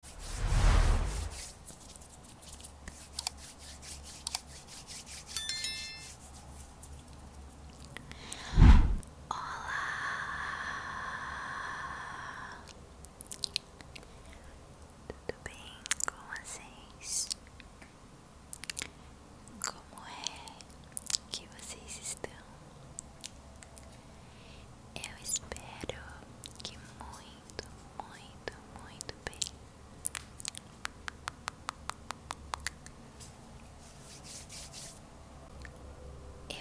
Olá, tudo bem com vocês? Como é que vocês estão? Eu espero que muito, muito, muito bem.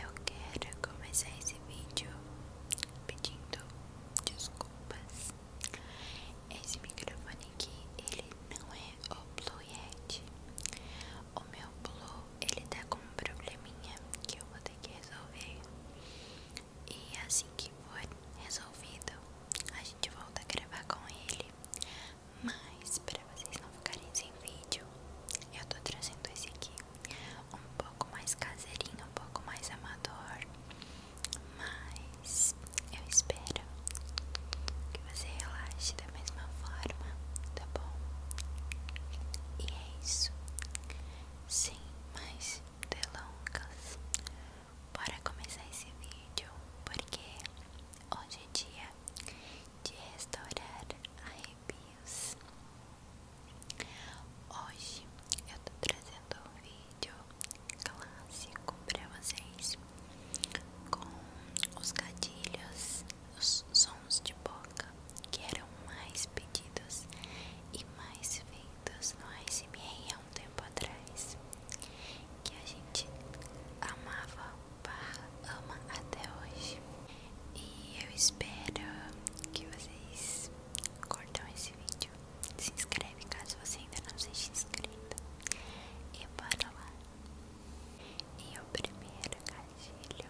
Eu quero começar esse vídeo pedindo desculpas. Esse microfone aqui, ele não é o Blue Yeti. O meu Blue, ele tá com um probleminha que eu vou ter que resolver. E assim que for resolvido, a gente volta a gravar com ele. Mas para vocês não ficarem sem vídeo, eu tô trazendo esse aqui um pouco mais caseirinho, um pouco mais amador. Mas eu espero que você relaxe da mesma forma, tá bom? E é isso. Sim, mas delongas Bora começar esse vídeo Porque hoje é dia de restaurar arrepios Hoje eu tô trazendo um vídeo clássico pra vocês Com os gatilhos, os sons de boca que eram mais pedidos e mais feitos no ASMR há um tempo atrás, que a gente amava, ama até hoje. E eu espero que vocês curtam esse vídeo. Se inscreve caso você ainda não seja inscrito. E bora lá! E o primeiro gatilho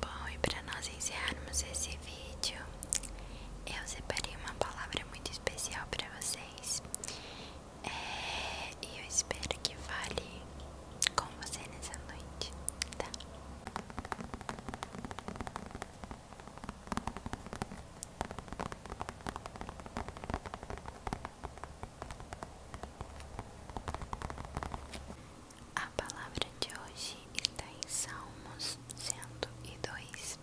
Bom, e para nós encerrarmos esse vídeo, eu separei uma palavra muito especial para vocês e é, eu espero que fale com você nessa noite, tá? A palavra de hoje está em Salmos cento e dois.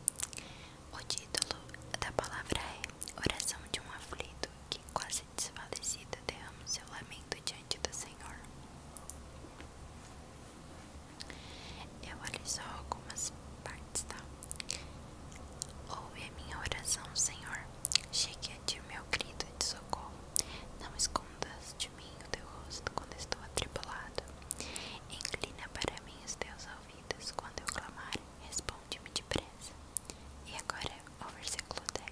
O título da palavra é Oração de um aflito que, quase desfalecida, derrama seu lamento diante do Senhor. Eu olho só algumas partes, tá? Ouve a minha oração, Senhor. Chegue a ti meu grito de socorro. Não escondas de mim o teu rosto quando estou atribulado. Inclina para mim os teus olhos ouvidos quando eu clamar, responde-me depressa. E agora o versículo 10.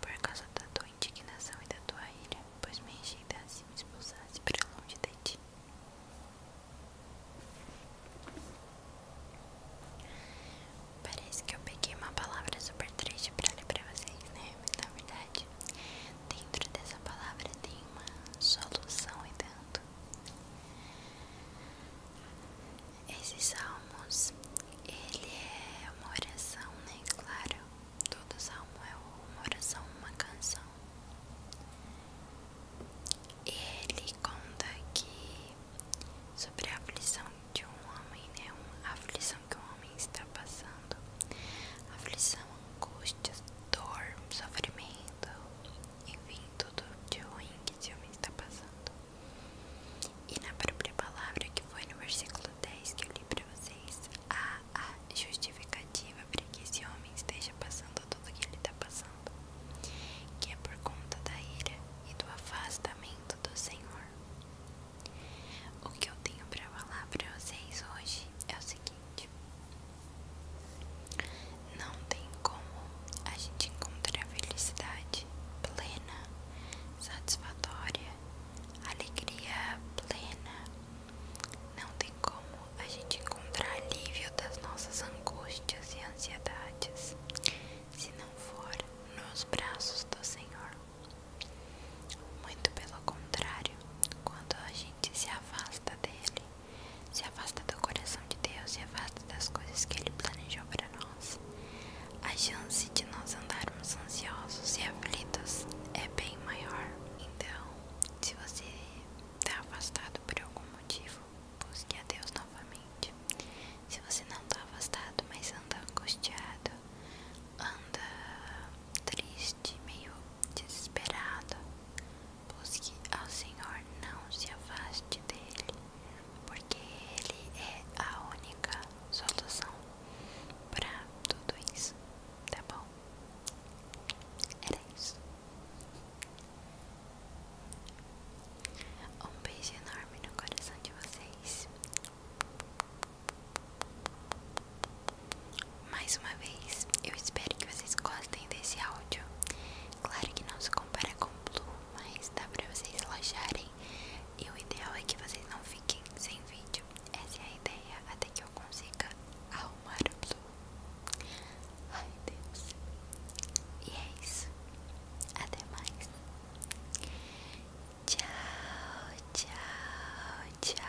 Por causa da tua indignação e da tua ira, pois me encheidasse e me expulsasse para longe de ti. Parece que eu peguei uma palavra super triste para ler para vocês, né? Mas na verdade, dentro dessa palavra tem uma solução e tanto esse Salmos, ele é uma oração, né? Claro, todo salmo é uma oração, uma canção. ele conta que sobre a aflição de um homem, né? A aflição que um homem está passando. Aflição, angústias, dor, sofrimento faltando, enfim, tudo de ruim que esse homem está passando. E na própria palavra que foi no versículo 10 que eu li para vocês, há a justificativa para que esse homem esteja passando tudo o que ele está passando, que é por conta da ira e do afastamento do Senhor. O que eu tenho para falar para vocês hoje é o seguinte não tem como a gente encontrar felicidade plena, satisfatória, alegria plena. Não tem como a gente encontrar alívio das nossas angústias e ansiedades se não for nos braços do Senhor. Muito pelo contrário, quando a gente se afasta dele, se afasta do coração de Deus, se afasta das coisas que ele planejou para nós. A chance de nós andarmos ansiosos e aflitos é bem maior. Então, se você está afastado por algum motivo, busque a Deus novamente. Se você não está afastado, mas anda angustiado, anda triste, este meio desesperado, busque ao Senhor, não se afaste dele, porque ele é a única solução para tudo isso, tá bom? Era isso. Um beijo enorme no coração de vocês. Mais uma vez, eu espero que vocês gostem desse áudio. Claro que não se compara com Blue, mas dá pra vocês relaxarem. E o ideal é que vocês não fiquem sem vídeo. Essa é a ideia, até que eu consiga arrumar o Blue. Ai, Deus. E é isso. Até mais. Tchau, tchau, tchau,